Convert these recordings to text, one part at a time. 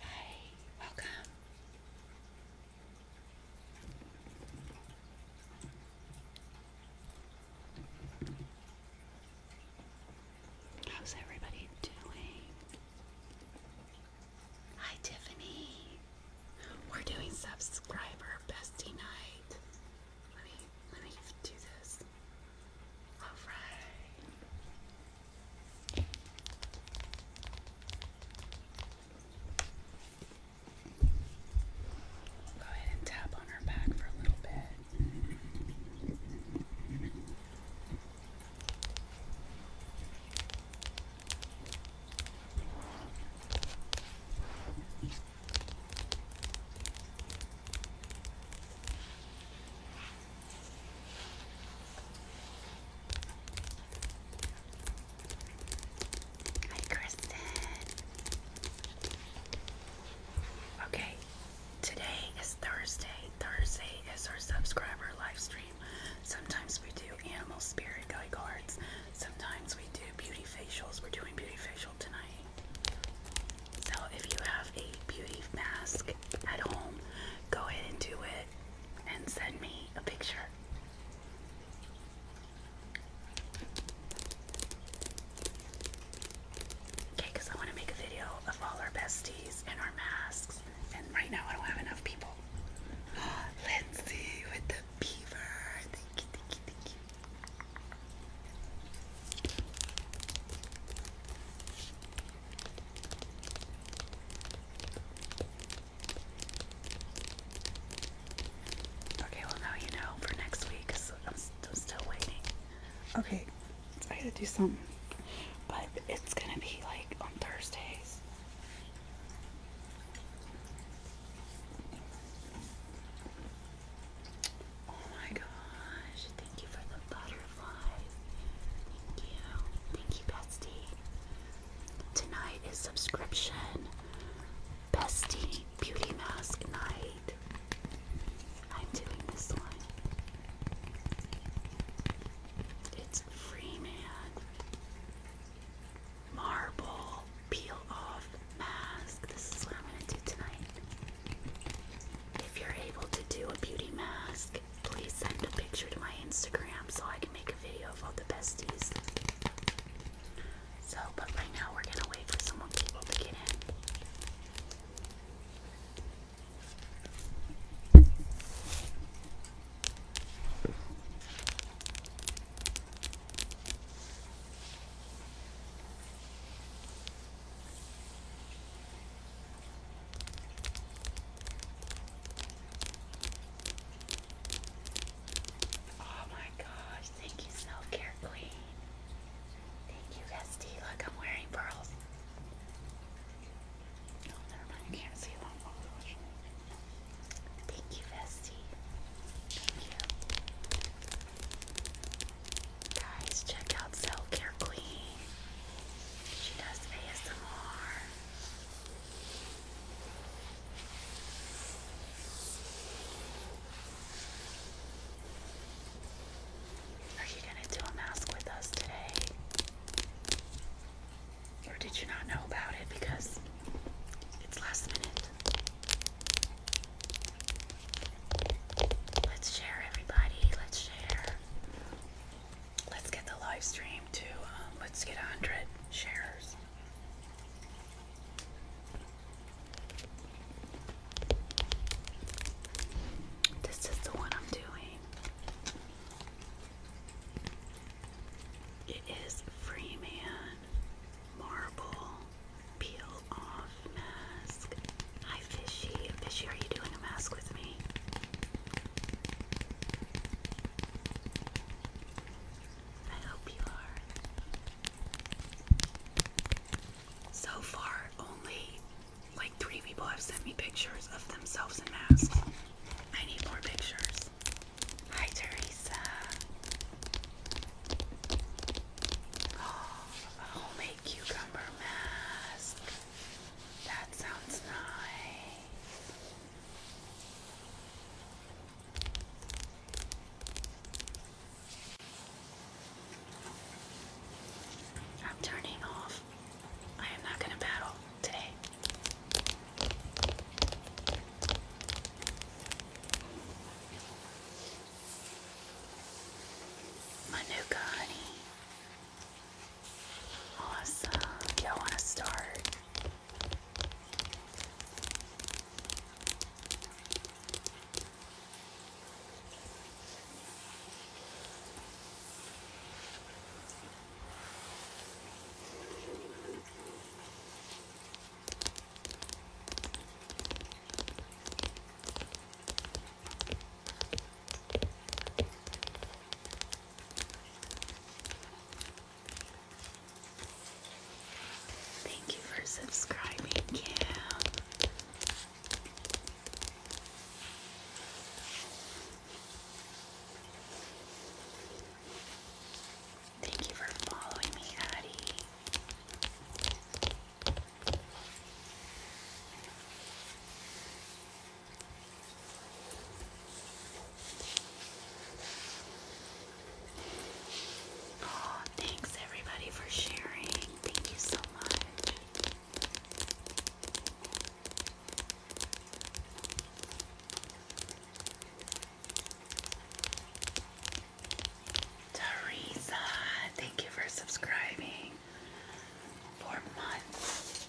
Hey, welcome. How's everybody doing? Hi, Tiffany. We're doing subscriber bestie night. Let me let me do this. All right. Go ahead and tap on her back for a little bit. Hi, Kristen. Okay, today is Thursday. Thursday is our subscriber livestream. Sometimes we do animal spirit guy cards. Sometimes we do beauty facials. We're doing beauty facial tonight. So if you have a beauty mask at home, go ahead and do it and send me a picture. Okay, I want to make a video of all our besties and our masks. And right now I don't have enough people. Lindsay with the beaver. Okay, well now you know for next week I'm, I'm still waiting. Okay, I gotta do something. But it's gonna be like on Thursdays. Oh my gosh, Thank you for the butterflies. Thank you. Thank you, Bestie. Tonight is subscription. Bestie Beauty Mask Night. I'm doing this one. It's free, man. Marble peel off mask. This is what I'm gonna do tonight. If you're able to do a beauty mask, please send a picture to my Instagram so I can make a video of all the besties. So, but right now we're gonna wait for some more to get in. Oh my gosh, thank you, Self Care Queen. Thank you, Esty. Look, I'm wearing pearls. Oh, never mind. I can't see them. Oh, thank you, Vesty. Thank you. Guys, check out Self Care Queen. She does ASMR. Are you going to do a mask with us today? Or did you not know about it because it's last minute? Let's share, everybody. Let's share. Let's get the live stream to, um, let's get 100 shares. This is the one I'm doing. It is Freeman Marble Peel Off Mask Hi, Fishy. Fishy, are you doing a mask with me? I hope you are. So far, only like three people have sent me pictures of themselves in masks. I need more pictures. Hi, Teresa. Oh, homemade cucumber mask. That sounds nice. I'm turning off. I am not going to battle today. Manuka honey. Awesome. Y'all want to start? Thank you for subscribing, Cam. Thank you for following me, Addie. Oh, thanks everybody for sharing. Thank you so much. Teresa, thank you for subscribing for months.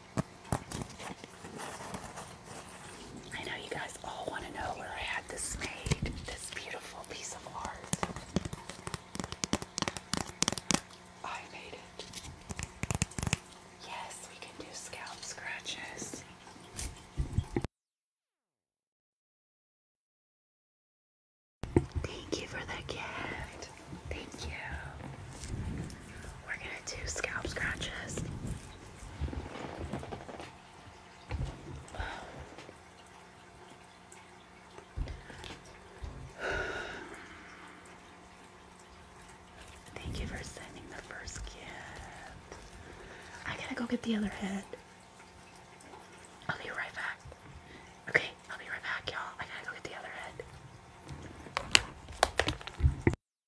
I know you guys all want to know where I had this made, this beautiful piece of art. I made it. Yes, we can do scalp scratches. Thank you for the gift. Thank you. We're gonna do scalp scratches. Thank you for sending the first gift. I gotta go get the other head. I'll be right back. Okay, I'll be right back, y'all. I gotta go get the other head.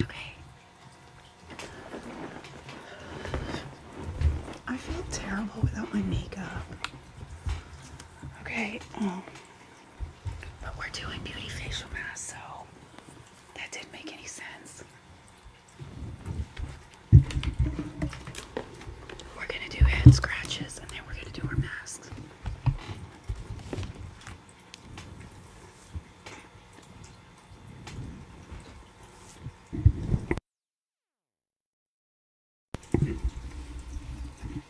Okay. I feel terrible without my makeup. Okay. But we're doing beauty facial masks, so that didn't make any sense. We're gonna do head scratches and then we're gonna do our masks.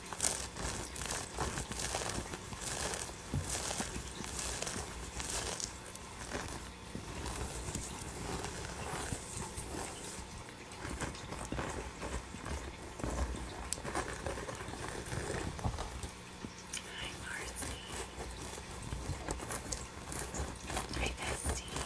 Hi, Marcy. Hi, Bestie.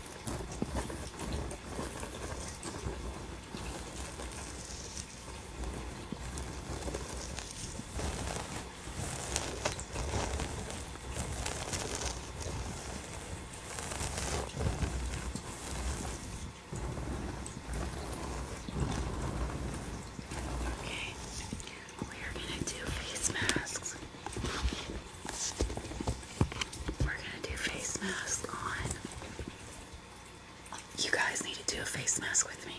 Okay, we are gonna do face masks. We're gonna do face masks on. You guys need to do a face mask with me.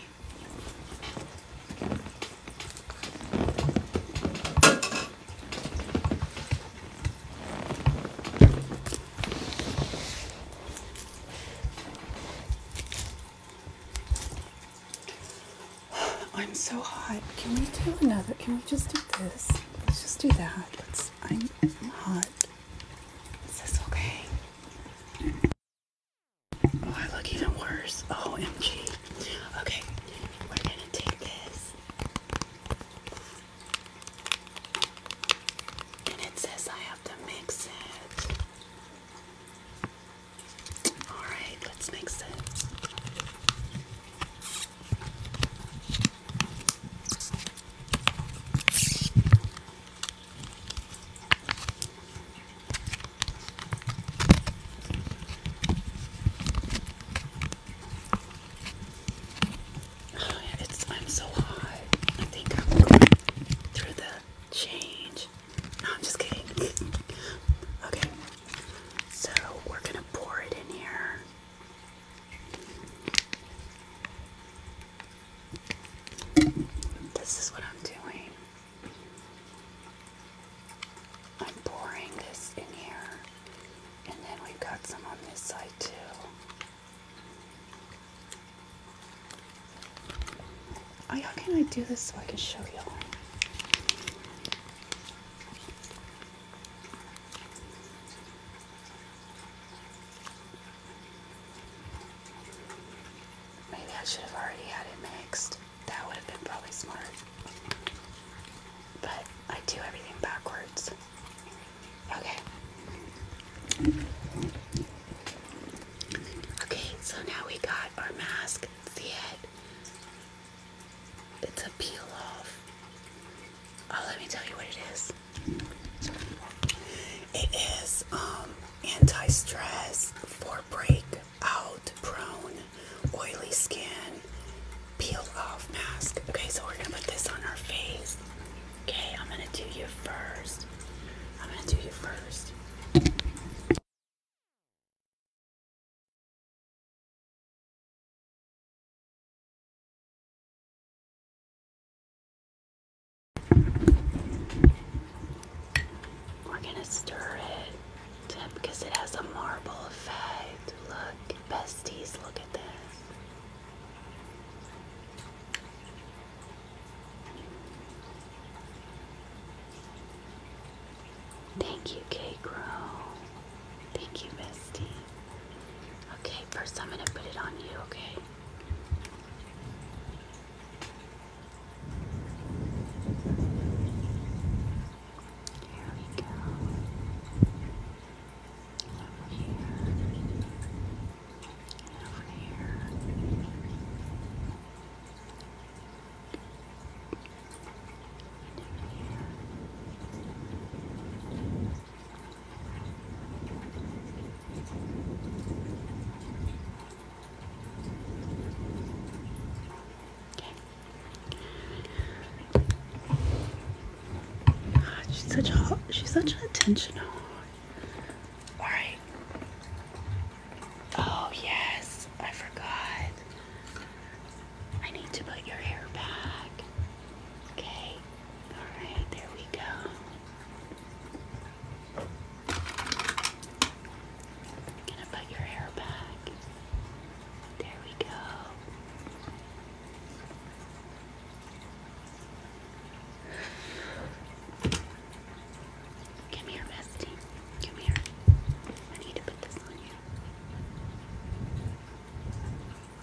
I'm so hot. Can we do another? Can we just do this? Let's just do that. Let's I am hot. Is this okay? Oh, I look even worse. Oh, Okay, we're gonna take this. And it says I have to mix it. Alright, let's mix it. Oh, it's I'm so hot. I think I'm through the change. No, I'm just kidding. okay, so we're gonna pour it in here. This is what I'm doing. I'm pouring this in here, and then we've got some on this side too. Oh, how can I do this so I can show y'all? Maybe I should have already had it mixed. That would have been probably smart. But I do everything backwards. Okay. Okay, so now we got our mask. See it? It's a peel off. Oh, let me tell you what it is. It is um, anti-stress for break-out prone oily skin peel off mask. Okay, so we're gonna put this on our face. Okay, I'm gonna do you first. I'm gonna do you first. We're gonna stir it because it has a marble effect. Look, besties, look at this. Thank you, K Grow. Thank you, Misty. Okay, first I'm going to put it on you, okay? Here we go. over here. over here she's such a hot. she's such an attention whore. All right. Oh yes, I forgot. I need to put your hair back. Okay. Alright, there we go. gonna put your hair back. There we go. Come here, bestie. Come here. I need to put this on you.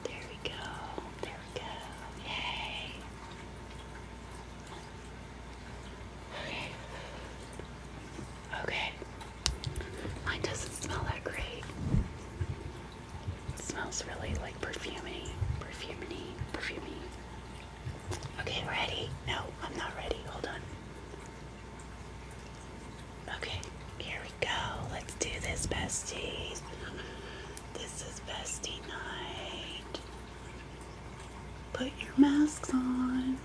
There we go. There we go. Yay. Okay. Okay. Mine doesn't smell that great. smells really like perfumey. Perfumey. Perfumey. Okay, ready? No, I'm not ready. Hold on. Okay, here we go. Let's do this, besties. This is bestie night. Put your masks on.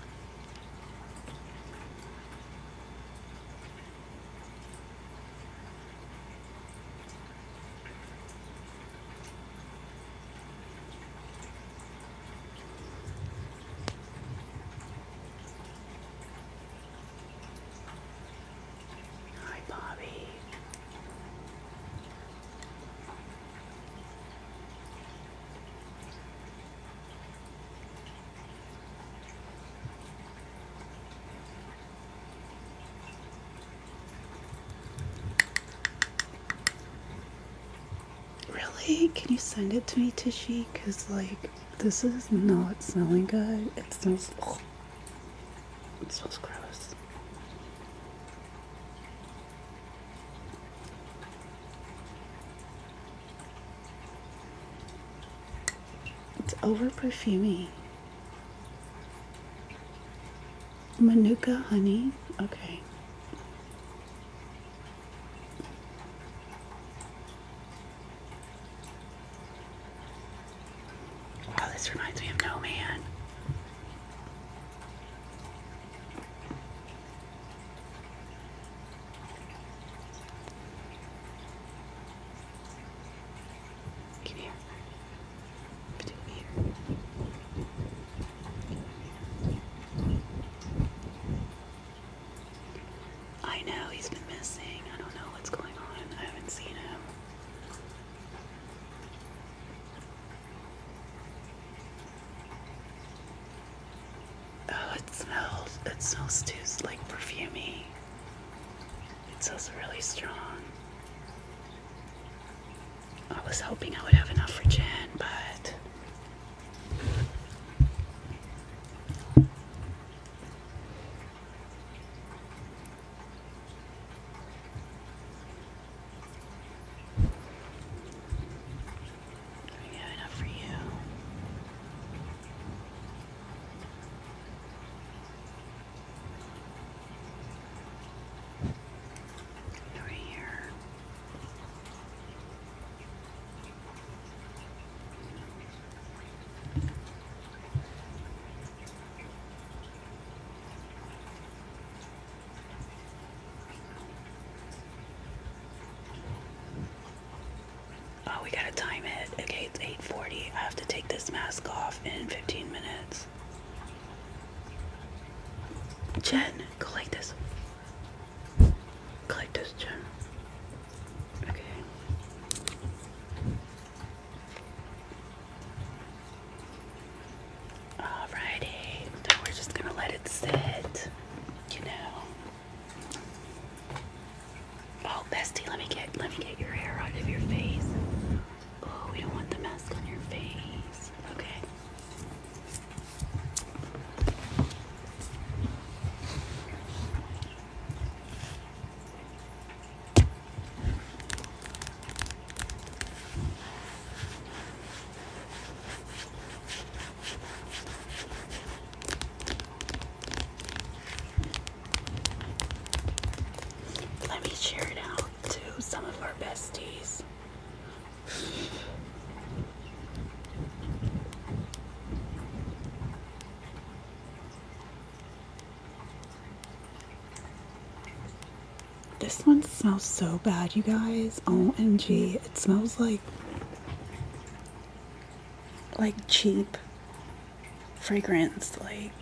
Hi, Bobby. Really? Can you send it to me, Tishy? Because, like, this is not smelling good. It smells. It smells gross. It's over perfuming. Manuka honey. Okay. Oh, this reminds me of No Man. Come here. Come here. I know he's been missing. I don't know what's going on. I haven't seen him. Oh, it smells, it smells too like perfumy. It smells really strong. I was hoping I would have enough for Jen, but we have enough for you. Over here. Oh, we gotta time it. Okay, it's 8:40. I have to take this mask off in 15 minutes. Jen, go like this. Go like this, Jen. Okay. Alrighty, now we're just gonna let it sit, you know. Oh, bestie, let me get let me get your hair out of your face. Oh, we don't want the mask on your face. Okay. Let me share it out to some of our besties. This one smells so bad, you guys. OMG. It smells like like cheap fragrance like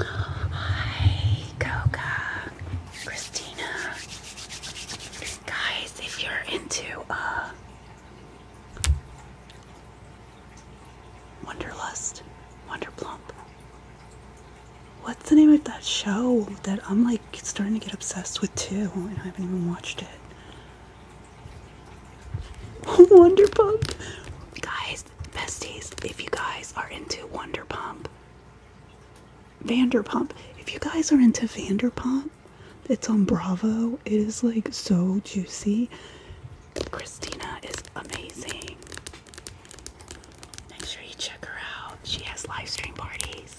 Hi Coca Christina Guys if you're into uh Wonderlust, Wonderplump. What's the name of that show that I'm like starting to get obsessed with too, and I haven't even watched it? Wonderpump, guys, besties. If you guys are into Wonderpump, Vanderpump. If you guys are into Vanderpump, it's on Bravo. It is like so juicy. Christina is amazing. Make sure you check her out. She has live stream parties.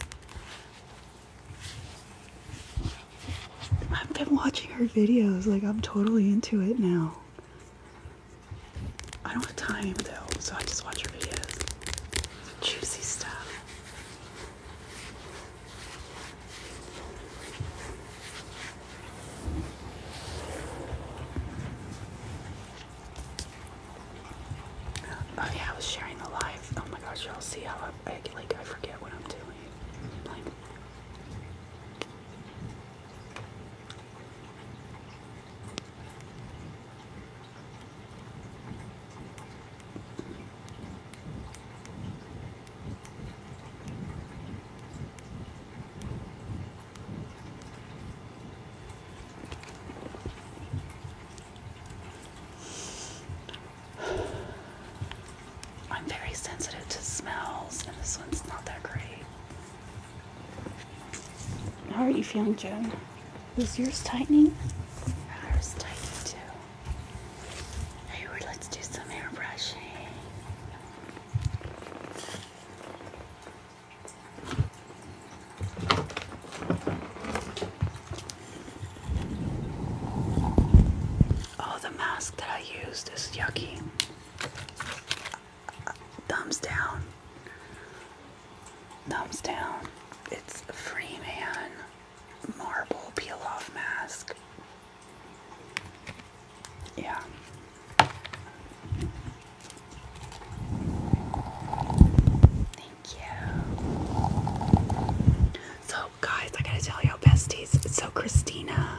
I've been watching her videos, like, I'm totally into it now. I don't have time though, so I just watch her videos. Juicy stuff. Oh yeah, I was sharing the live. Oh my gosh, y'all see how I, like I forget what I'm doing. I'm very sensitive to smells, and this one's not that great. How are you feeling, Joan? Is yours tightening? Ours tightening too. Hey, let's do some hair Oh, the mask that I used is yucky. Thumbs down. Thumbs down. It's a Freeman marble peel off mask. Yeah. Thank you. So, guys, I gotta tell you besties. So, Christina,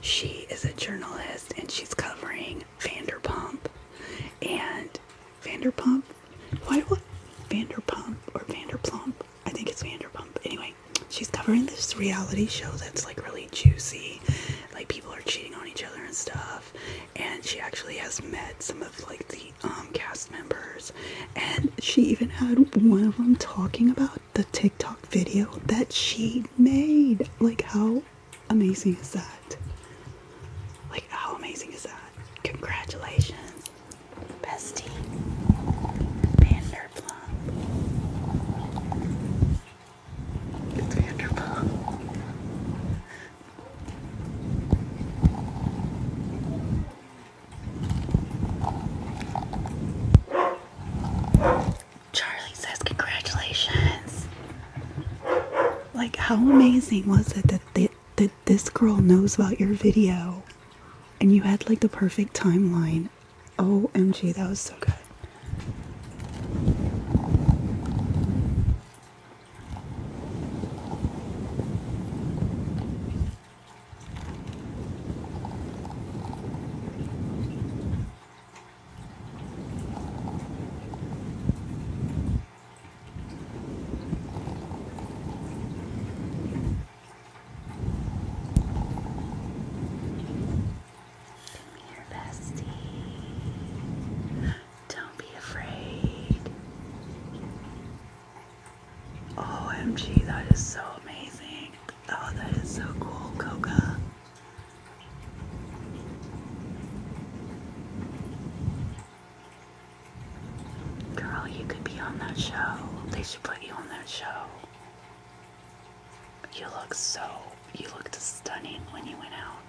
she is a journalist and she's covering Vanderpump. And Vanderpump, why do I Vanderpump or Vanderplump? I think it's Vanderpump. Anyway, she's covering this reality show that's like really juicy. Like people are cheating on each other and stuff. And she actually has met some of like the um, cast members. And she even had one of them talking about the TikTok video that she made. Like how amazing is that? Like how amazing is that? Congratulations, bestie. Vanderplump. It's wonderful. Charlie says, Congratulations. Like, how amazing was it that, that this girl knows about your video and you had like the perfect timeline? in. OMG, that was so good your bestie. Don't be afraid. OMG, that is so amazing. Oh, that is so cool, Coca. Girl, you could be on that show. They should put you on that show. You look so, you looked stunning when you went out.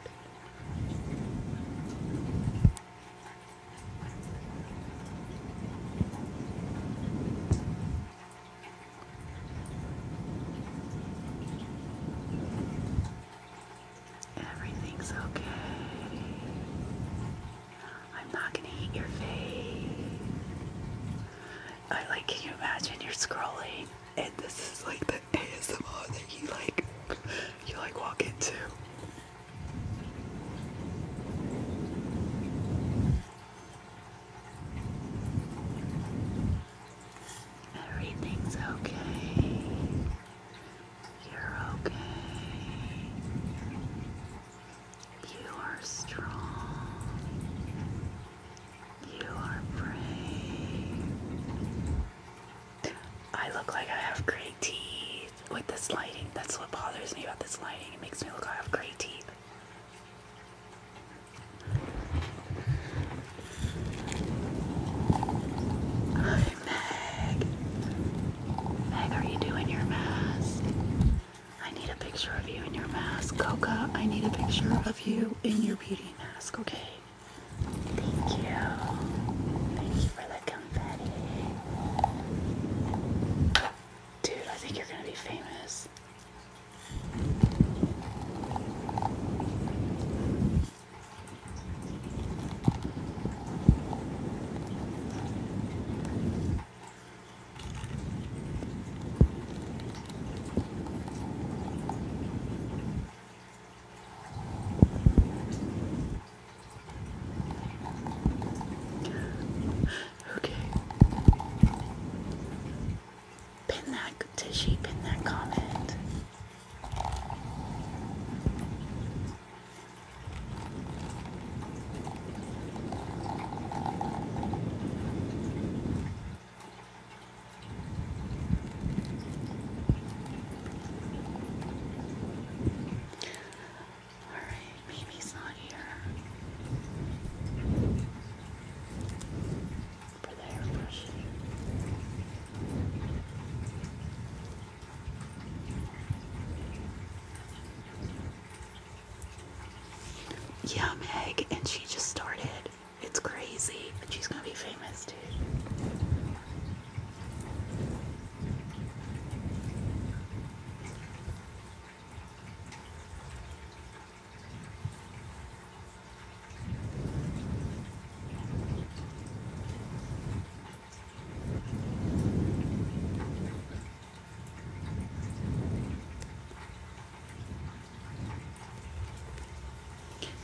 Everything's okay. I'm not gonna eat your face. I like, can you imagine you're scrolling and this is like the ASMR that you like you like walk into. Everything's okay. You're okay. You are strong. You are brave. I look like I have great teeth with this lighting. That's what bothers me about this lighting. It makes me look like I have great teeth. Hi, Meg. Meg, are you doing your mask? I need a picture of you in your mask. Coca, I need a picture of you in your beauty mask, okay? Thank you. Thank you for the confetti. Dude, I think you're gonna be famous. Okay. Pin that Tishy, pin that comment. All right, baby's not here. For the airbrush. Yeah, Meg, and she just started. It's crazy. but she's gonna be famous too.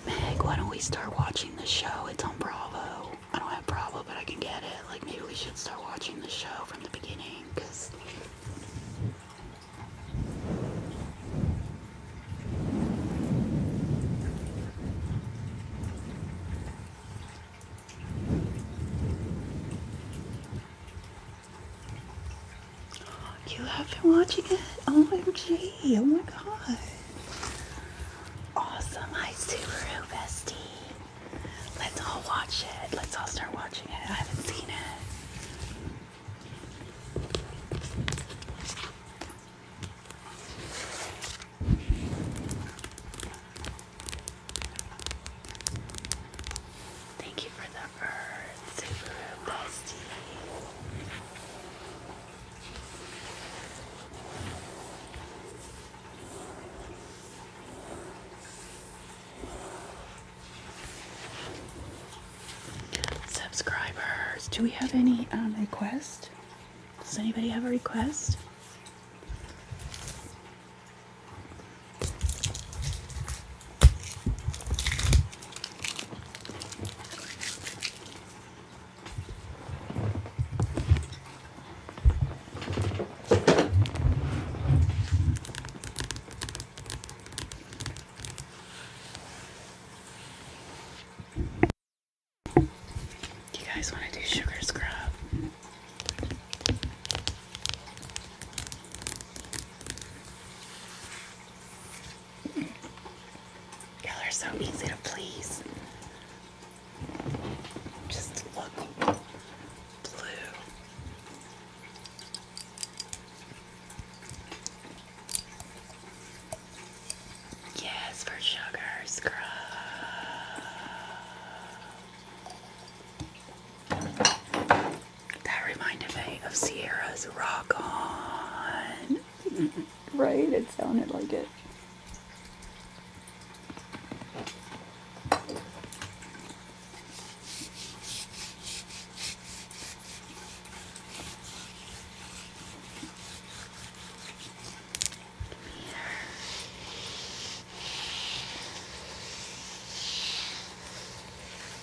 Meg, why don't we start watching the show? It's on Bravo. I don't have Bravo, but I can get it. Like, maybe we should start watching the show from the beginning, because. You have been watching it? OMG. Oh my god. Awesome. Hi, Subaru Bestie. Let's all watch it. Let's all start watching it. I haven't seen it. Thank you for the bird. Subscribers, do we have any um, request? Does anybody have a request? You guys want to do sugar scrub? Y'all are so easy to please. Just look blue. Yes, for sugar scrub. That reminded me of Sierra's Rock On right? It sounded like it.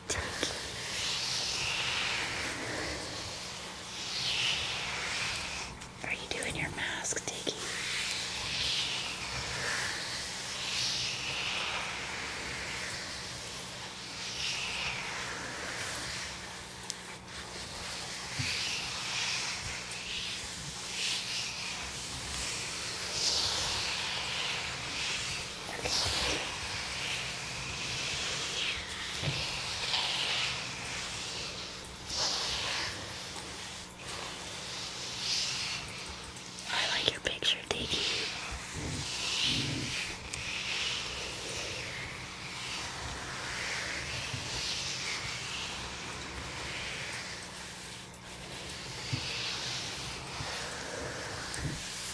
right. Are you doing your mask, Diggy? I like your picture taking.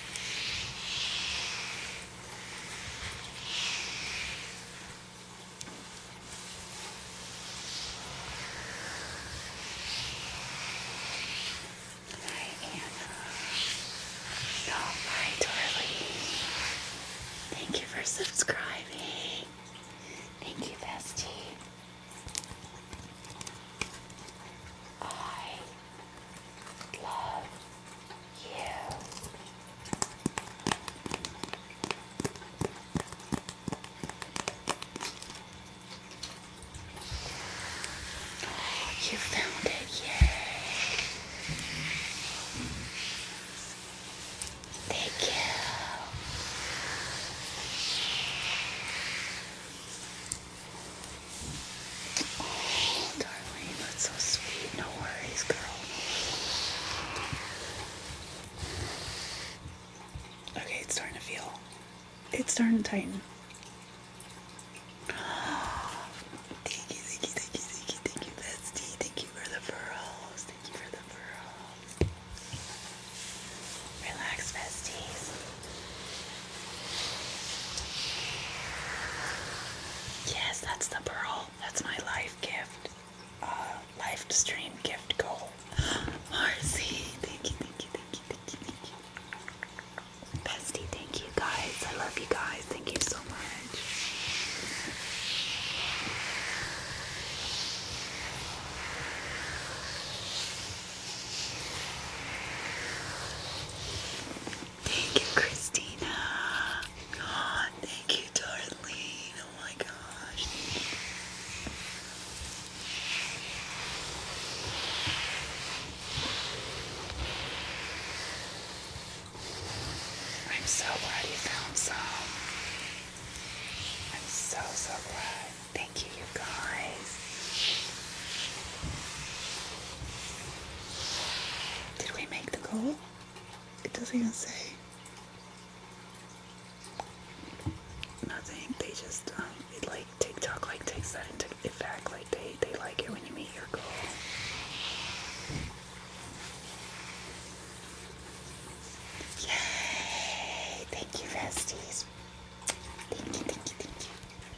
Hi, Anna. Oh, my Thank you for subscribing. Thank you, bestie. I love you. You found it, yay! Thank you darling, that's so sweet. No worries, girl. Okay, it's starting to feel. It's starting to tighten. Thank you, thank you, thank you, thank you, thank you, bestie. Thank you for the furrows. Thank you for the furrows. Relax, besties. Yes, that's the pearl. That's my life gift. Uh, live stream gift goal. Marcy, thank you, thank you, thank you, thank you, thank you. Bestie, thank you guys. I love you guys. Thank you so much. Thank you, Christina. God, thank you, Darlene. Oh my gosh. I'm so glad you found some. I'm so, so glad. Thank you, you guys. Did we make the goal? It doesn't even say. Nothing. They just um, it, like TikTok like takes that into effect. Like they they like it when you meet your goal. Yay! Thank you, Vesties. Thank you, thank you, thank you.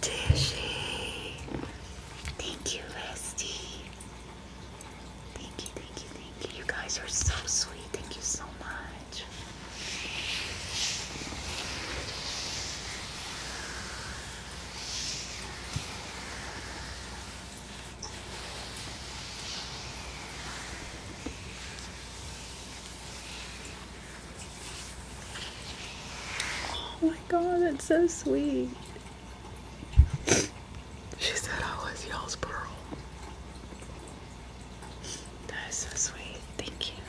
Tishy. Thank you, Rusty. Thank you, thank you, thank you. You guys are so sweet. Thank you so much. Oh my god, that's so sweet. She said I was y'all's pearl. That is so sweet. Thank you.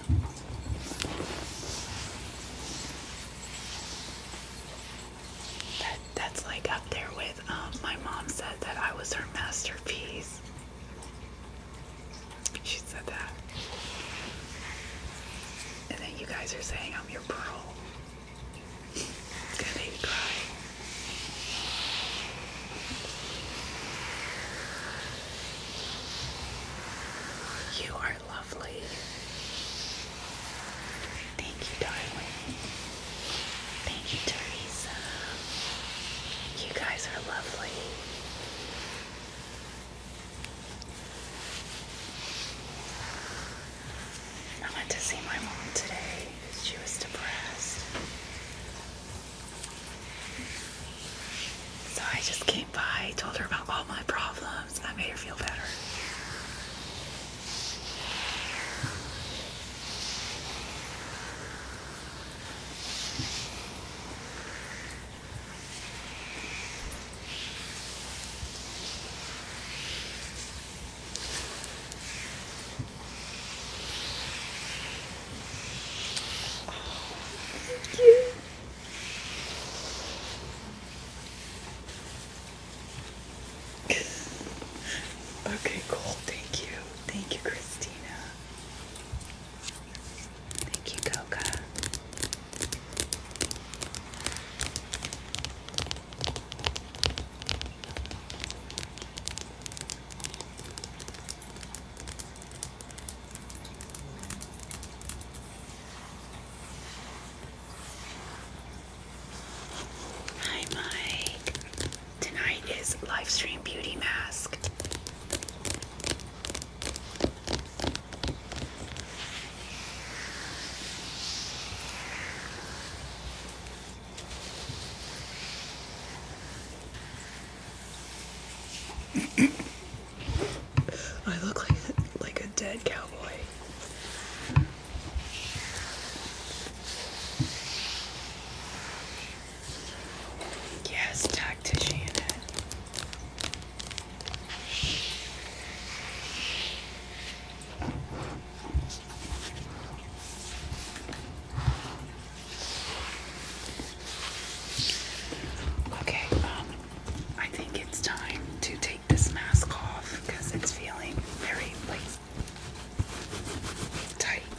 That that's like up there with um, my mom said that I was her masterpiece. She said that. And then you guys are saying I'm your pearl. You are lovely. Thank you, darling. Thank you, Teresa. You guys are lovely. I went to see my mom today she was depressed. So I just came by, told her about all my problems, and I made her feel better. Okay, cool. Thank you. Thank you, Christina. Thank you, Coca. Hi, Mike. Tonight is live stream beauty mask. I look like like a dead cowboy. Yes, tactician. Okay, um, I think it's time to take this mask off because it's feeling very like tight.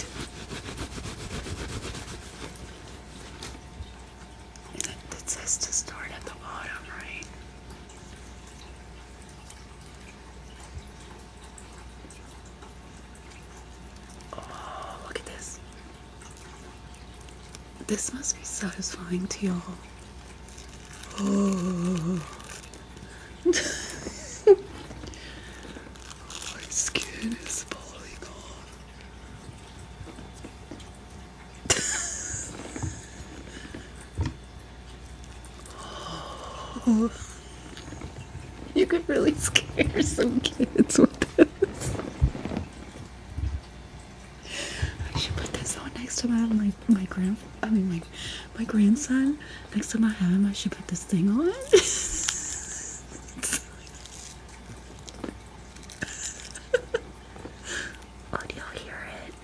It says to start at the bottom, right? Oh, look at this. This must be satisfying to y'all. Oh. My skin is falling off. oh. You could really scare some kids with this. I should put this on next to my my, my grand I mean my my grandson next to my ham. I should put this thing on. oh, do you hear it?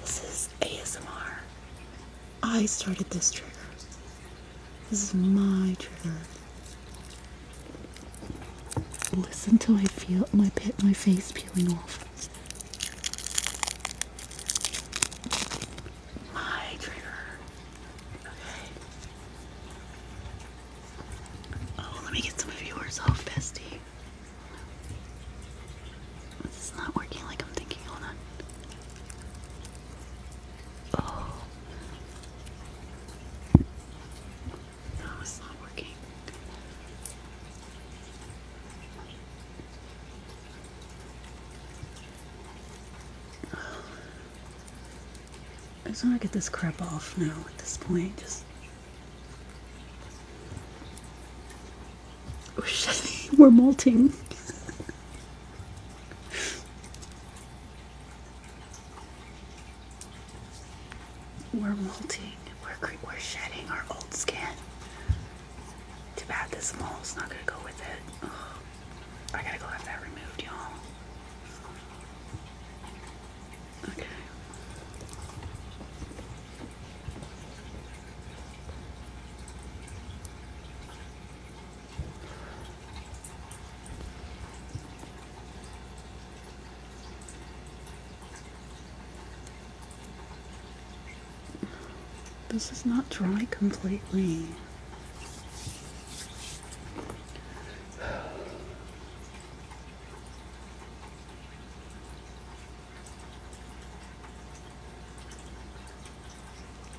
This is ASMR. I started this trigger. This is my trigger. Listen to I feel my pit, my face peeling off. My trigger. Okay. Oh, let me get some of yours off, bestie. This is not working like I'm thinking. Hold on. Oh. No, it's not working. I just want to get this crap off now at this point. Just We're molting. We're molting. We're, we're shedding our old skin. Too bad this mold's not gonna go with it. I gotta go have that removed, y'all. Okay. This is not dry completely.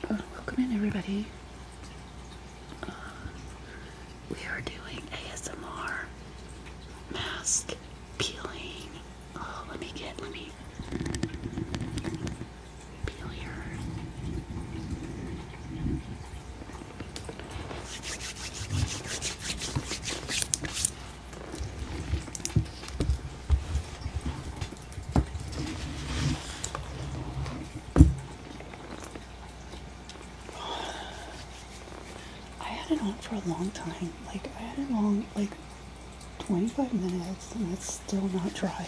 Oh, welcome in, everybody. Uh, we are doing ASMR mask peeling. Oh, let me get, let me peel here. I had it on for a long time. Like, I had it on like 25 minutes and it's still not dry.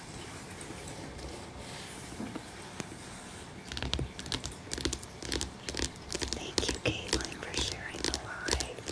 Thank you, Caitlin, for sharing the live.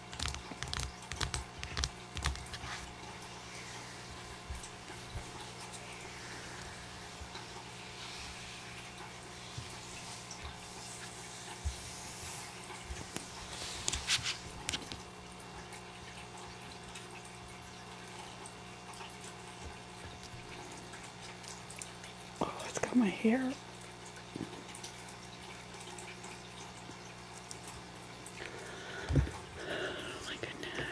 Oh, it's got my hair. Oh my goodness.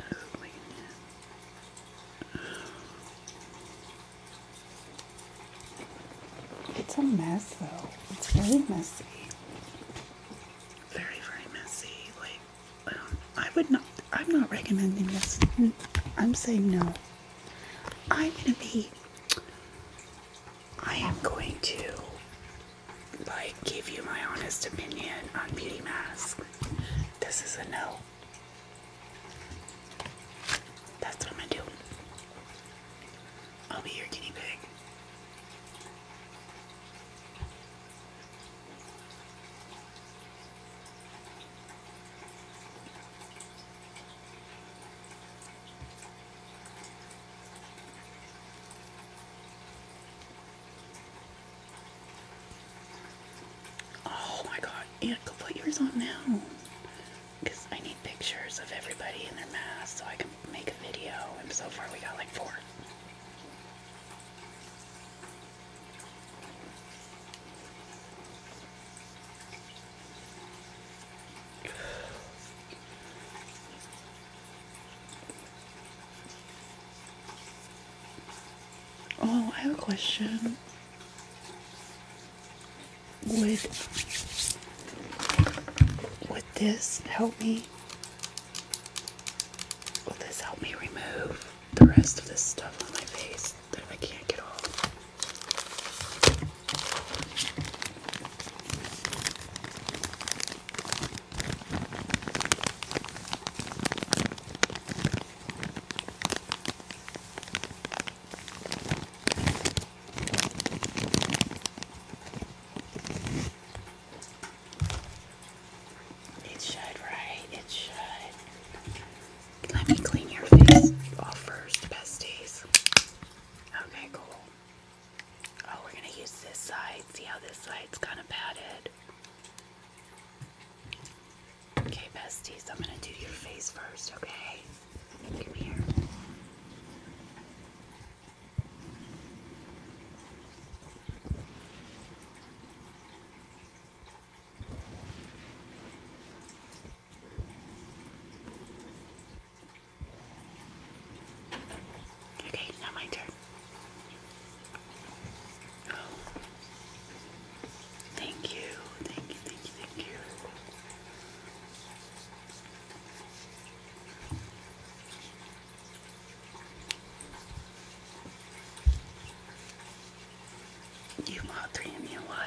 Oh my goodness. It's a mess though. It's very messy. Very, very messy. Like, um, I would not, I'm not recommending this. Mm, I'm saying no. I'm gonna be, I am going to like give you my honest opinion on beauty masks. This is a no. That's what I'm gonna do. I'll be your guinea pig. Oh my god, yeah, go put yours on now. Because I need pictures of everybody in their mask so I can make a video. And so far, we got like four. Oh, I have a question. Would would this help me? Will this help me remove the rest of this stuff on my face that I can't get off? It should, right? It should. Let me clean your face off first, besties. Okay, cool. Oh, we're going to use this side. See how this side's kind of padded. Okay, bestie. So I'm going to do your face first, okay? Come here. Okay, now my turn. Thank you, thank you, thank you, thank you. You all three of you what?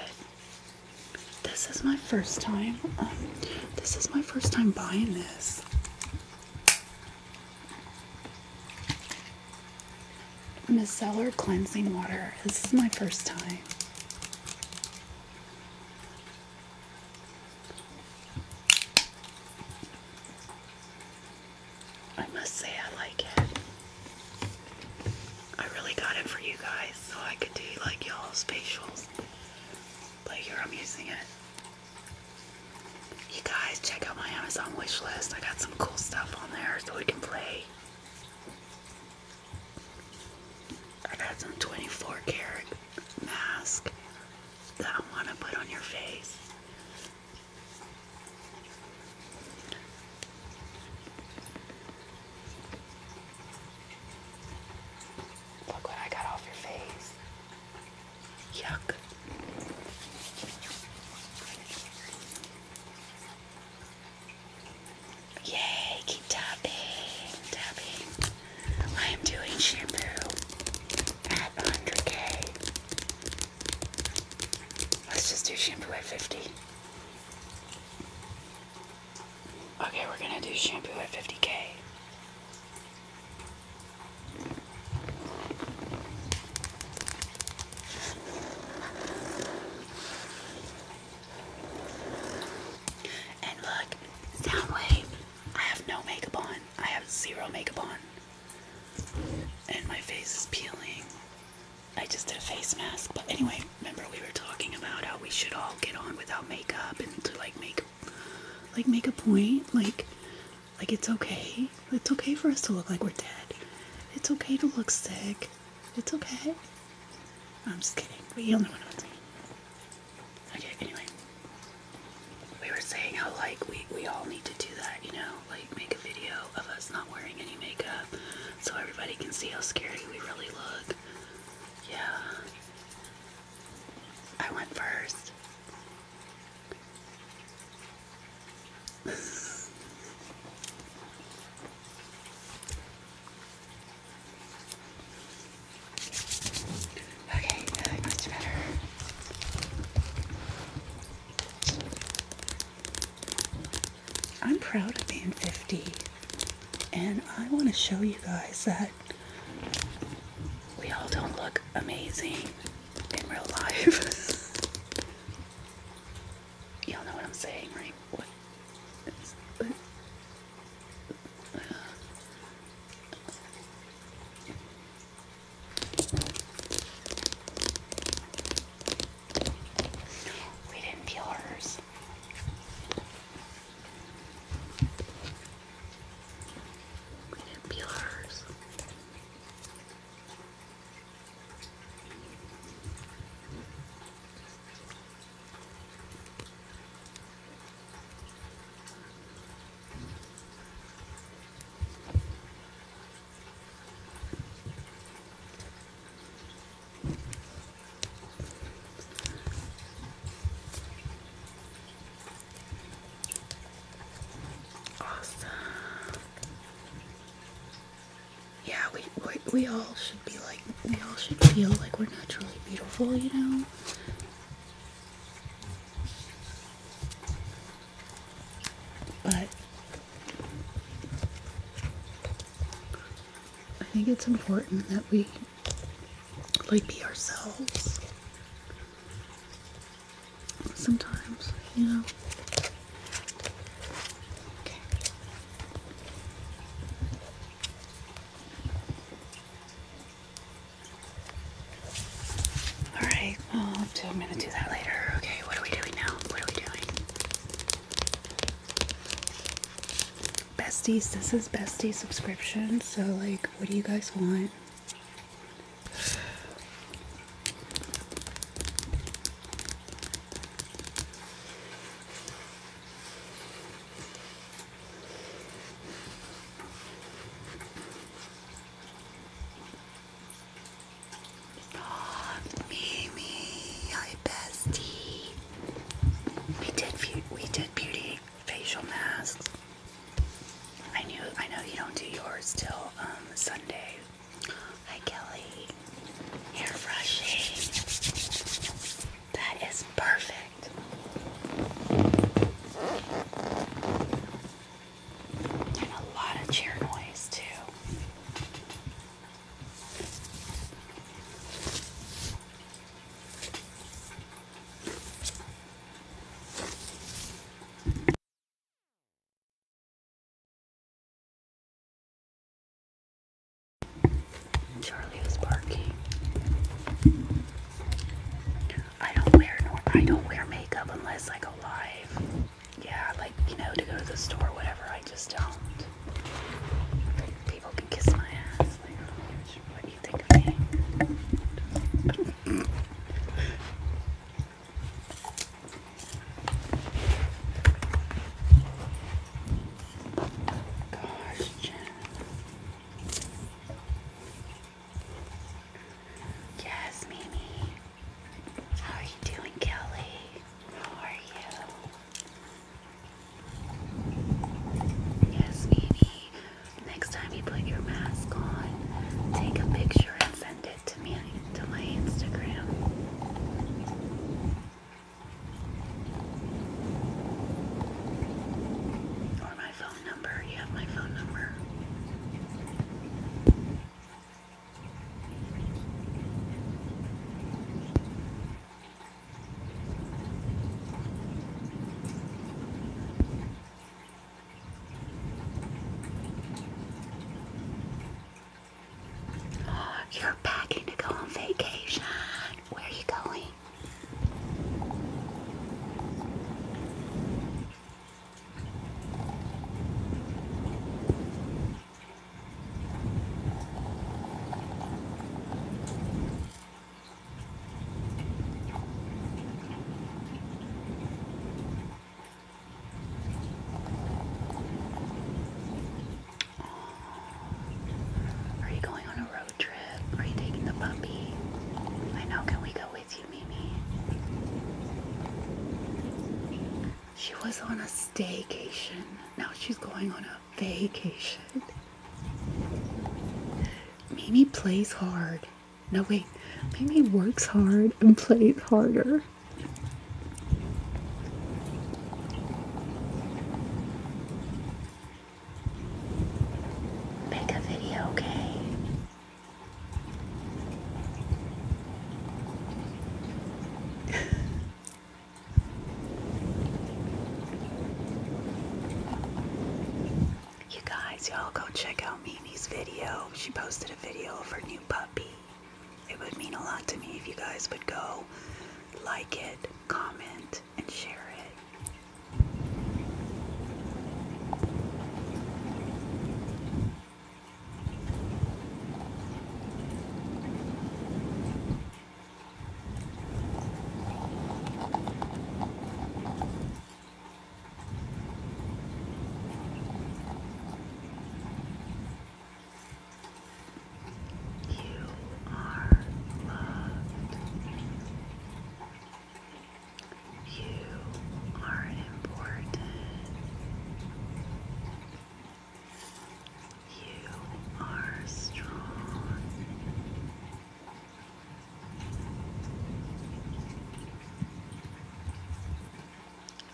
This is my first time. Um, this is my first time buying this. Micellar cleansing water. This is my first time. I must say I like it. I really got it for you guys so I could do like y'all's facials. But here i using it you guys, check out my Amazon wish list. I got some cool stuff on there so we can play. I got some 24 karat mask that I want to put on your face. Look what I got off your face. Yuck. Yay, keep tapping, tapping. I am doing shampoo at 100k. Let's just do shampoo at 50. Okay, we're gonna do shampoo at 50k. And look, Soundwave, I have no makeup on. I have zero makeup on. And my face is peeling. I just did a face mask. But anyway, remember we were talking about how we should all get on without makeup and to like make like make a point. Like like, it's okay. It's okay for us to look like we're dead. It's okay to look sick. It's okay. I'm just kidding. But you'll know what I'm saying. Okay, anyway. We were saying how, like, we, we all need to do that, you know? Like, make a video of us not wearing any makeup so everybody can see how scary we really look. Yeah. I went first. Okay, much better. I'm proud of being 50, and I want to show you guys that we all don't look amazing in real life. Y'all know what I'm saying, right? What? we didn't peel hers. We did Awesome. Yeah, we, we we all should be like we all should feel like we're naturally beautiful, you know. But I think it's important that we like be ourselves sometimes, you know. Okay. All right. Well, I'm gonna do that later. Okay. What are we doing now? What are we doing? Besties. This is besties subscription. So, like, what do you guys want? Mimi, hi bestie. We did we did beauty facial masks. I knew I know you don't do yours till um, Sunday. Hi Kelly. Hair brushing. That is perfect. And a lot of chair noise too. Charlie is barking. I don't wear I don't wear makeup unless I go live. Yeah, like you know, to go to the store, whatever. I just don't. People can kiss my ass. what do you think of me? Gosh, Jen. Yes, Mimi. How are you doing, Kelly? How are you? Yes, Mimi. Next time you put your mask on, take a picture and send it to me to my Instagram. Or my phone number. You have my phone number. You're packing to go on vacation. Where are you going? Are you going on a road trip? Are you taking the puppy? I know, can we go with you, Mimi? She was on a staycation. Now she's going on a vacation. Mimi plays hard. No, wait. Maybe works hard and plays harder. Make a video, okay? You guys, y'all go check out Mimi's video. She posted a video of her new puppy. It would mean a lot to me if you guys would go like it, comment, and share it. You are loved. You are important. You are strong.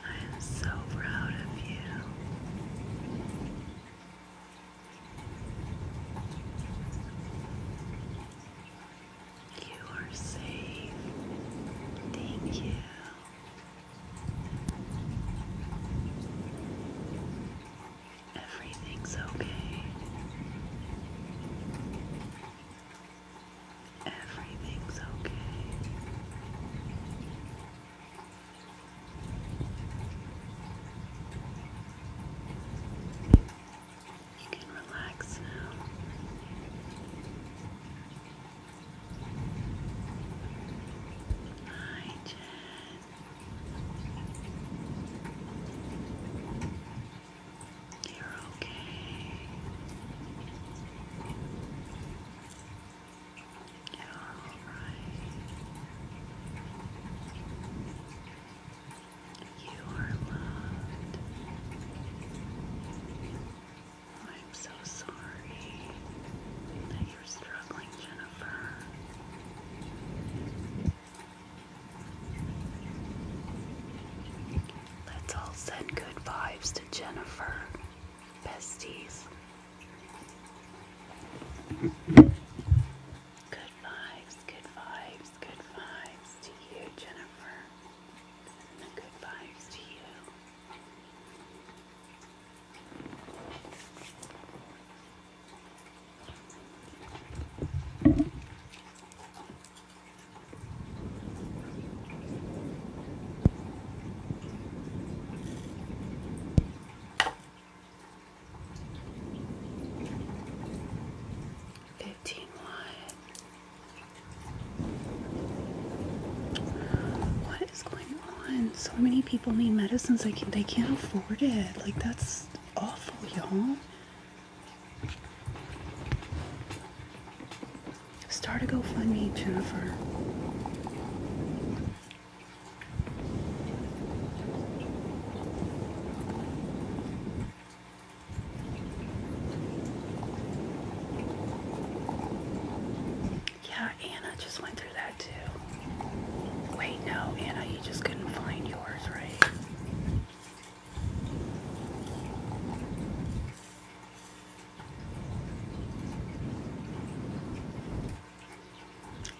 I am so proud of you. You are safe. Thank you. Everything's okay. Everything's okay. You can relax now. Hi, you're okay. You're all right. You are loved. I'm so sorry that you're struggling, Jennifer. Let's all send good vibes Jennifer. Besties. Good vibes, good vibes, good vibes to you, Jennifer. good vibes to you. Fifteen What is going on? So many people need medicines. Like they can't afford it. Like that's awful, y'all. Start a GoFundMe, Jennifer. Yeah, Anna just went through that too. Wait, no, Anna, you just couldn't find yours, right?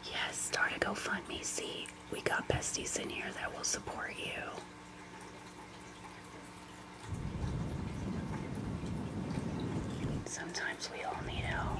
Yes, start a GoFundMe. See, we got besties in here that will support you. Sometimes we all need help.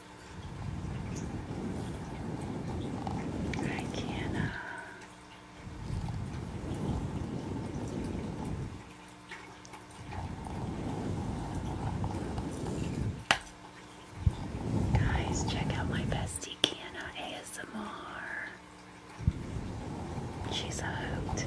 I cannot. Uh, Guys, check out my bestie Kiana ASMR. She's hooked.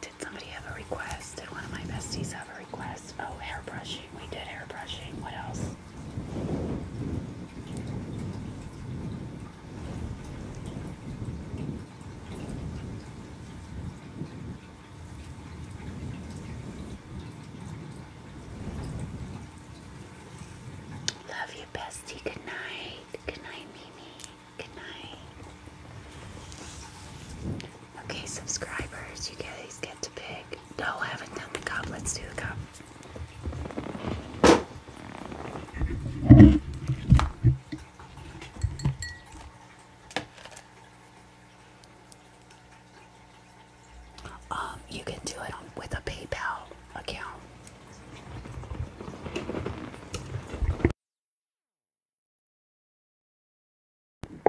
Did somebody have a request? Did one of my besties have a request? Oh, airbrushing. We did airbrushing. What else? Love you, bestie. Good night. Good night, Mimi. Good night. Okay, subscribers, you guys get to pick. No, I haven't done the cup. Let's do the cup. Um, you can do it with a PayPal account. Good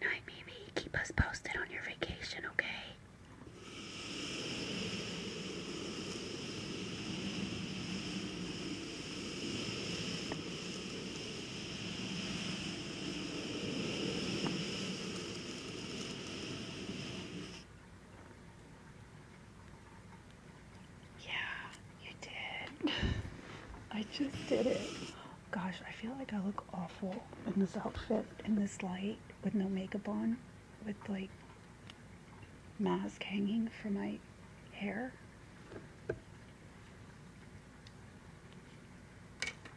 night, Mimi. Keep us posted on your vacation, okay? Yeah, you did. I just did it. Gosh, I feel like I look awful in this outfit, in this light, with no makeup on, with like mask hanging from my hair.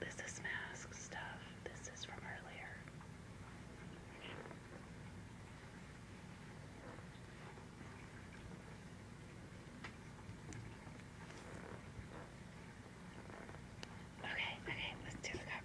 This is mask stuff. This is from earlier. Okay, okay, let's do the cup.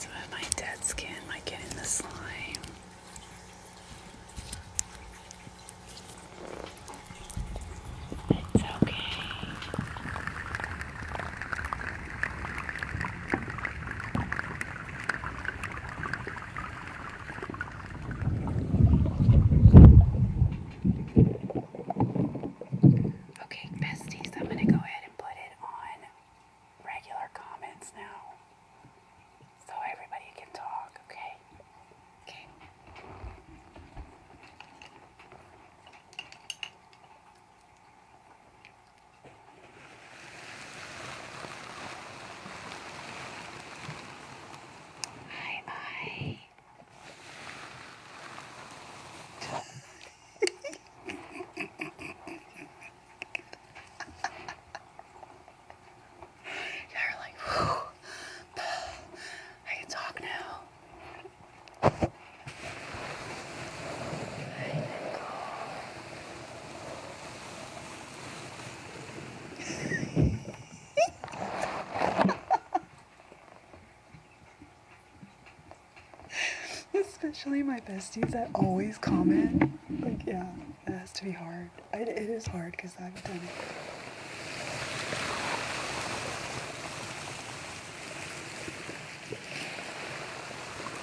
Some of my dead skin might get in the slime. It's okay. Okay, besties, I'm going to go ahead and put it on regular comments now so everybody can talk, okay? Okay. Aye, aye. You're like, whew, I can talk now. I Especially my besties that always comment. Like, yeah, that has to be hard. it is hard because I've done it.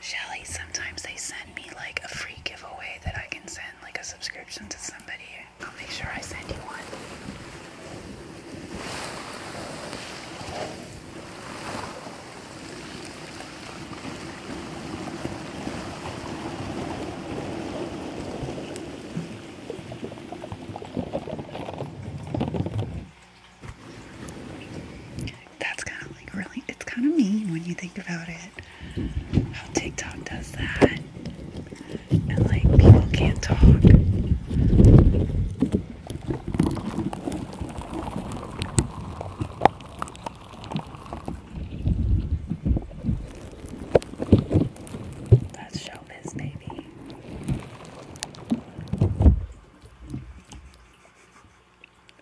Shelly, sometimes they send me like a free giveaway that I can send, like a subscription to somebody. I'll make sure I send you one. That's kind of like really, it's kind of mean when you think about it. How TikTok does that. And like people can't talk. That's showbiz, baby.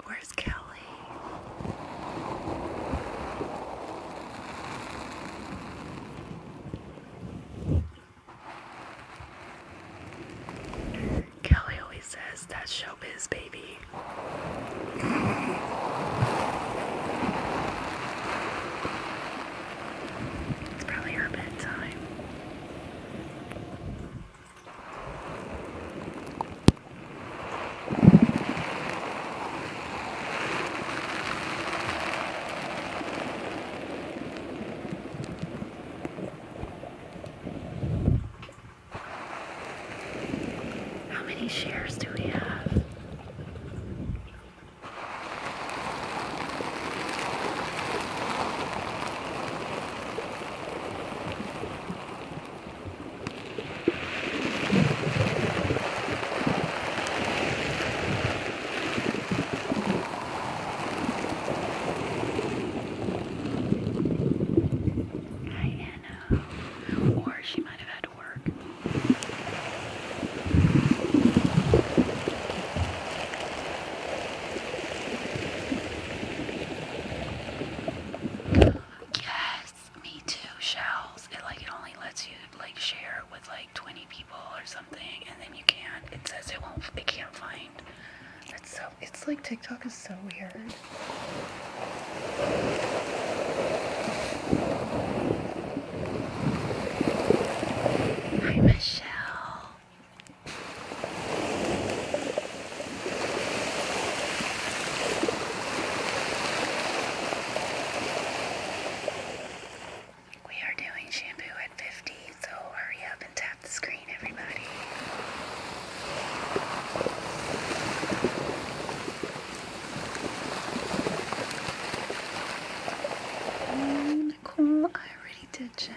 Where's Kelly? Kelly always says that showbiz, baby. It's probably her bedtime. How many shares do we have? I don't know. Or she might have had to work. Yes, me too. Shells. It like it only lets you like share with like 20 people or something, and then you can't. It says it won't. It can't find. It's so. It's like TikTok is so weird. Hi Michelle. We are doing shampoo at 50, so hurry up and tap the screen, everybody. Cool, I already did Jen.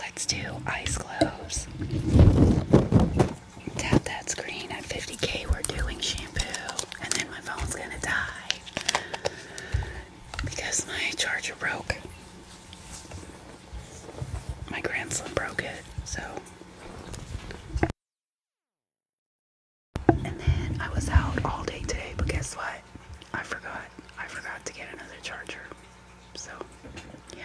Let's do ice globes. Tap that screen at 50k. We're doing shampoo, and then my phone's gonna die because my charger broke. My grandson broke it, so. And then I was out all day today, but guess what? I forgot. I forgot to get another charger. So, yeah.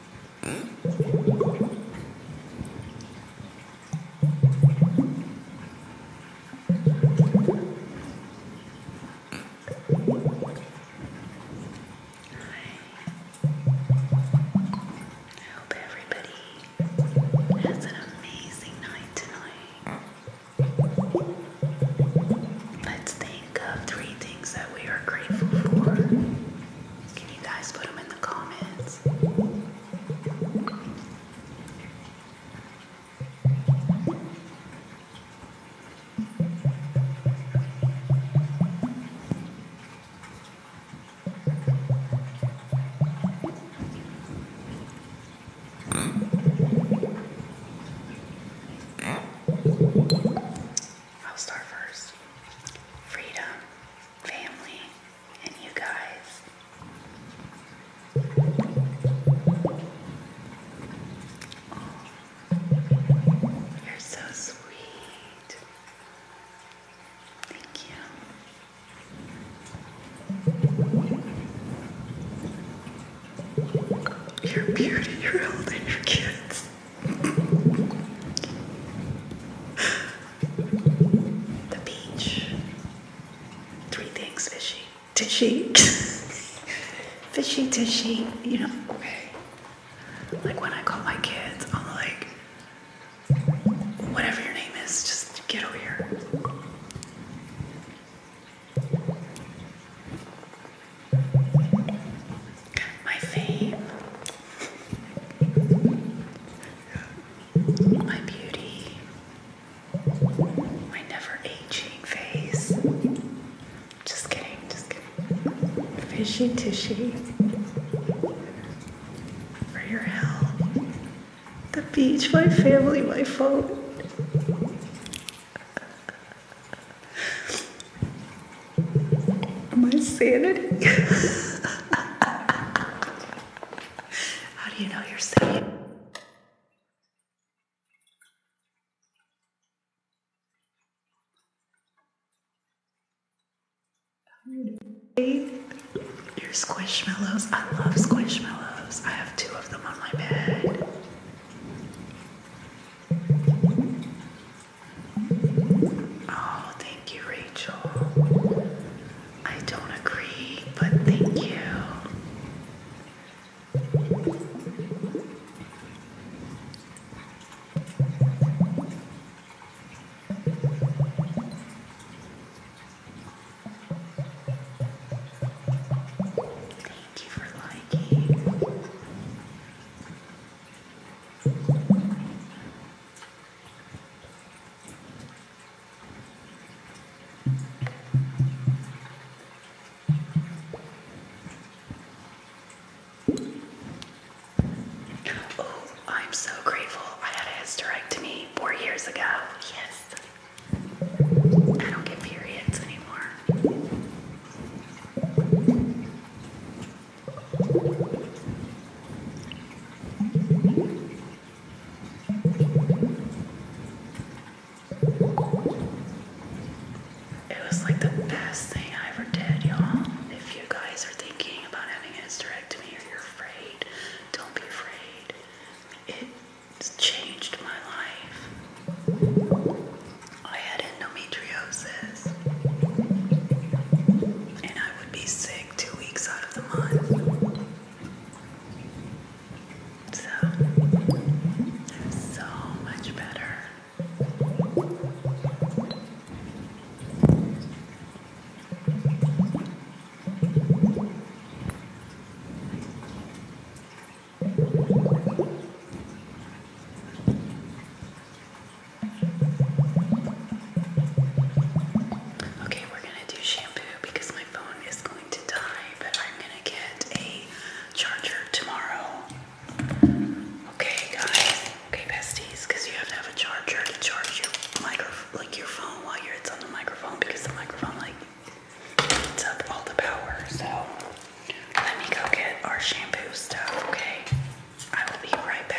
I hope everybody has an amazing night tonight. Let's think of three things that we are grateful for? Can you guys put them in the comments? I'll start first. Freedom, family, and you guys. you're so sweet. Thank you. Your beauty, your health, and your kids. The beach. Three things fishy. Tishy. fishy, tishy. You know, Like when I call my kids, I'm like, whatever your name is, just get over here. My fame, my beauty, my never aging face. Just kidding, just kidding. Fishy tishy. your health. The beach, my family, my phone. My sanity. How do you know you're safe? Your squishmallows. I love squishmallows. I have two of them on my bed. Oh, thank you, Rachel. I don't agree, but thank you. Thank you for liking. Oh, I'm so grateful I had a hysterectomy four years ago. Yes. I don't get periods anymore. It was like the best thing I ever did, y'all. If you guys are thinking about having a hysterectomy or you're afraid, don't be afraid. It's changed my life. I had endometriosis, and I would be sick two weeks out of the month. So, I'm so much better. Okay, we're gonna do shampoo because my phone is going to die, but I'm gonna get a charger tomorrow. Okay, guys. Okay, besties, because you have to have a charger to charge your microphone, like your phone, while you're it's on the microphone because the microphone like eats up all the power. So let me go get our shampoo stuff. Okay. I will be right back.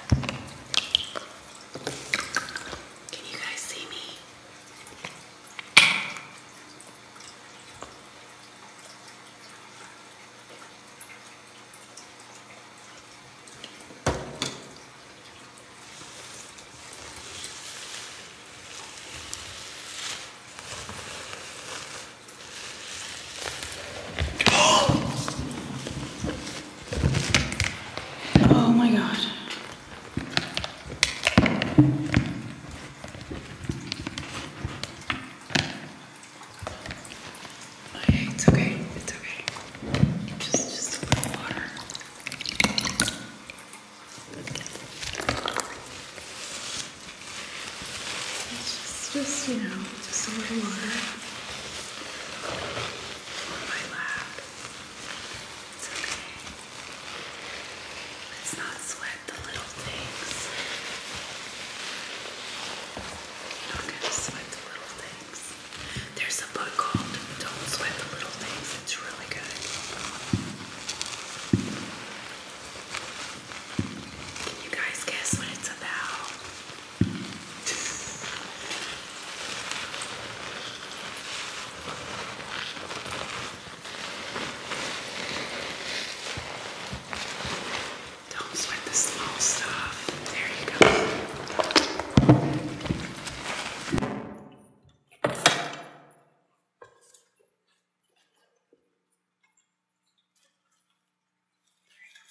Can you guys see me? Oh my God. it's okay, it's okay. Just, just a little water. It's just, just, you know, just a little water on my lap. It's okay. Let's not sweat the little things. not gonna sweat the little things. There's a book called Don't Sweat the Little Things. It's really good. Can you guys guess what it's about? Don't sweat the small stuff. There you go. There you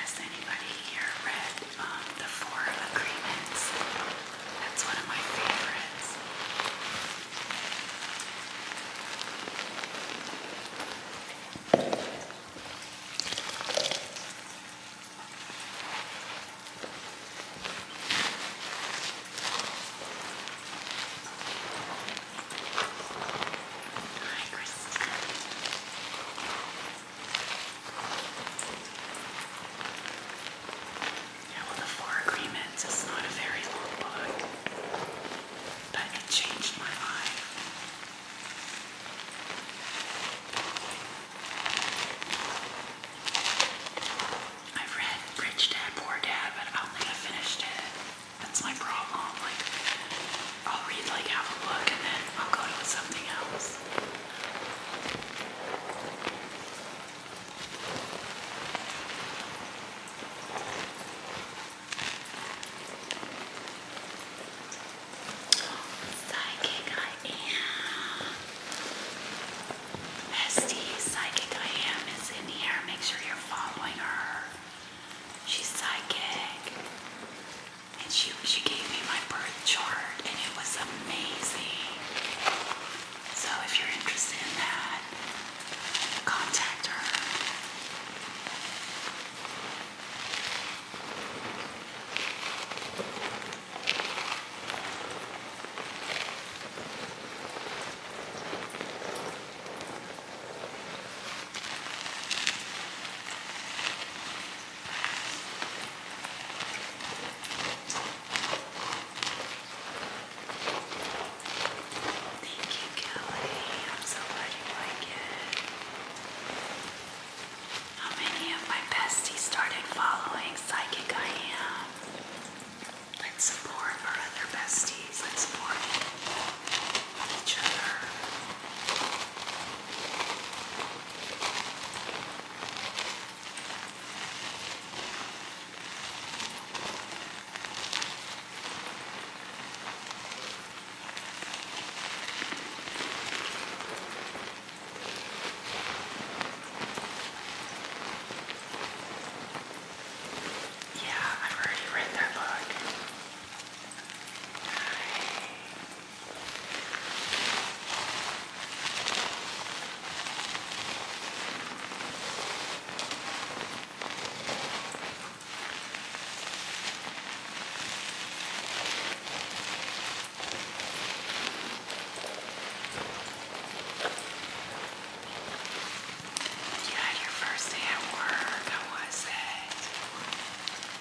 Has anybody here read um, The Four Agreements? That's one of my favorites. Hi, Christina. the Four Agreements is not a very long book, but it changed my life. I've read Rich Dad, Poor Dad, but I don't think I finished it. That's my problem. I'll read like half a book and then I'll go to something else. Psychic I am. Bestie, Psychic I am is in here. Make sure you're following her. She's psychic and she she gave me my birth chart, and it was amazing. So if you're interested in that, contact her. Thank you, Kelly. I'm so glad you like it. How many of my besties started following Psychic I Am? Let's support our other besties. Let's support each other. Yeah, I've already read that book. You had your first day at work. How was it?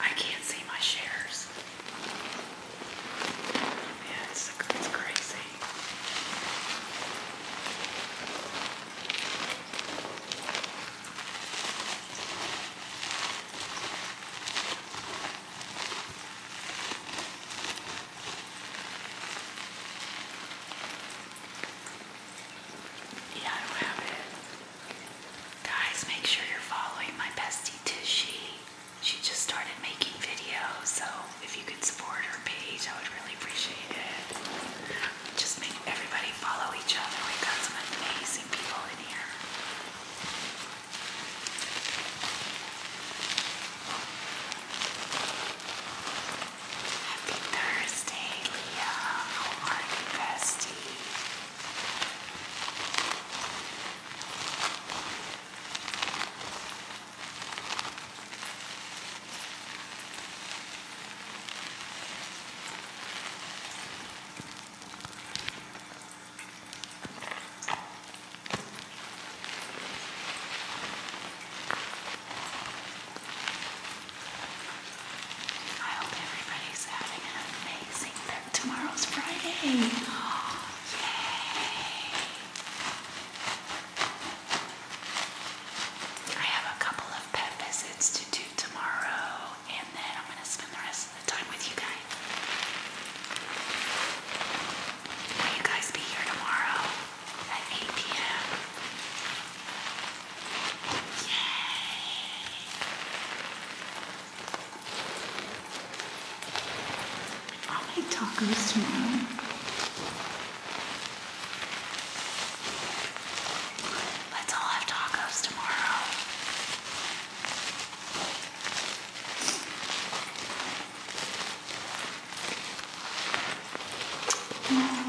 I can't see my shares. Yeah, it's, crazy. Yeah, I have it. Guys, make sure you're following my bestie Tushy she just started making videos, so if you could support her page, I would really appreciate it. Just make everybody follow each other. We've got some amazing people in here. Happy Thursday, Leah. How are I hope everybody's having an amazing Tomorrow's Friday. yay. I have a couple of pet visits to do tomorrow, and then I'm going to spend the rest of the time with you guys. Will you guys be here tomorrow at 8 p.m.? Yay! I'll make tacos tomorrow. Let's all have tacos tomorrow. Oh,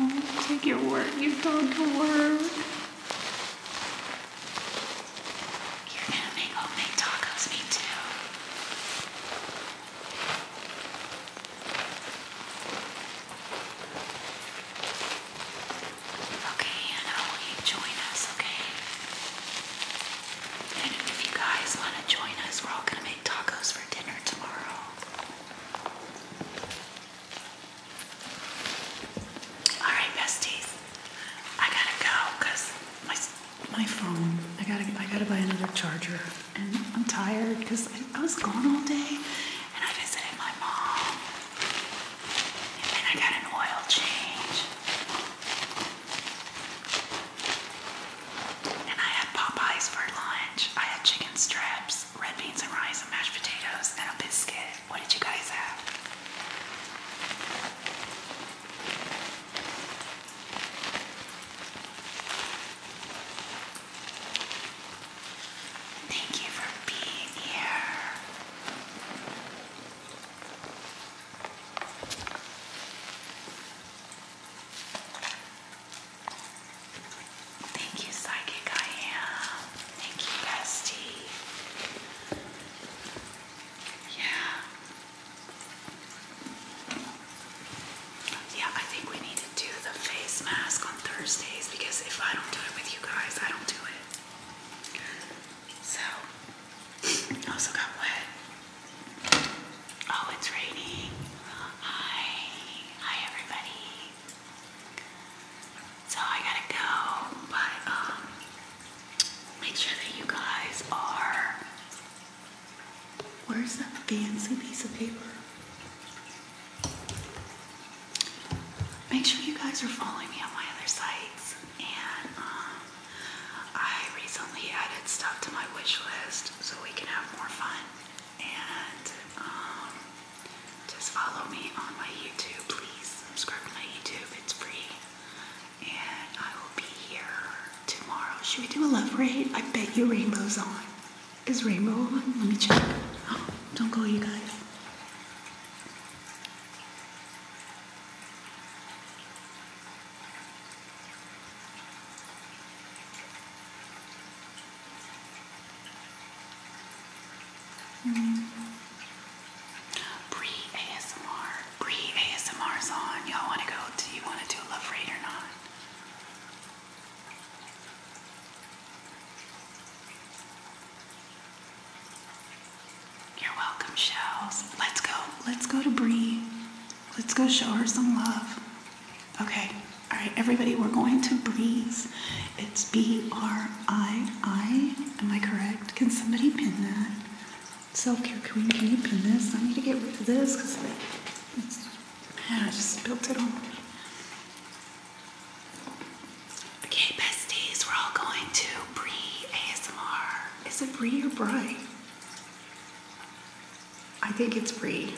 it's your work. You've gone to work. You're gonna make homemade tacos, me too. Okay, and will you join us, okay? And if you guys want to join us, we're all gonna make tacos for dinner tomorrow. Alright, besties. I gotta go my my phone. I gotta I gotta buy another charger, and I'm tired because I, was gone all day, and I visited my mom, and I got an oil change, and I had Popeyes for lunch. I had chicken strips, red beans and rice, and mashed potatoes, and a biscuit. What did you guys have? Thank you for being here. Thank you, Psychic I Am. Thank you, Bestie. Yeah. Yeah, I think we need to do the face mask on Thursdays because if I don't do it with you guys, I don't do it. So, also got wet. Oh, it's raining. Hi. Hi, everybody. So I gotta go, but um, make sure that you guys are. Where's that fancy piece of paper? Make sure you guys are following me on my other sites. And um, I recently added stuff to my wish list so we can have more fun. And um, just follow me on my YouTube, please. Subscribe to my YouTube, it's free and I will be here tomorrow. Should we do a love read? I bet you Rainbow's on. Is Rainbow on? Let me check. don't go, you guys. Mm. Pre ASMR pre-ASMRs on. Y'all wanna go, do you wanna do a love raid or not? You're welcome, Shells. Let's go. Let's go to Bree. Let's go show her some love. Okay. All right, everybody, we're going to Breeze. It's B R I I. Am I correct? Can somebody pin that? Self care queen, can you pin this? I need to get rid of this because I just built it all. Okay, besties, we're all going to Brie ASMR. Is it Brie or bry? I think it's Brie.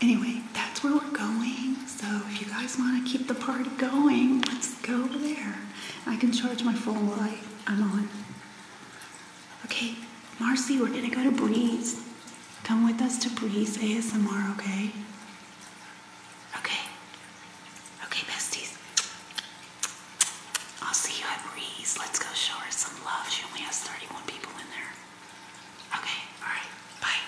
Anyway, that's where we're going. So if you guys want to keep the party going, let's go over there. I can charge my phone while I I'm on. Okay, Marcy, we're gonna go to Breeze. Come with us to Breeze ASMR, okay? Okay. Okay, besties. I'll see you at Breeze. Let's go show her some love. She only has 31 people in there. Okay, alright. Bye.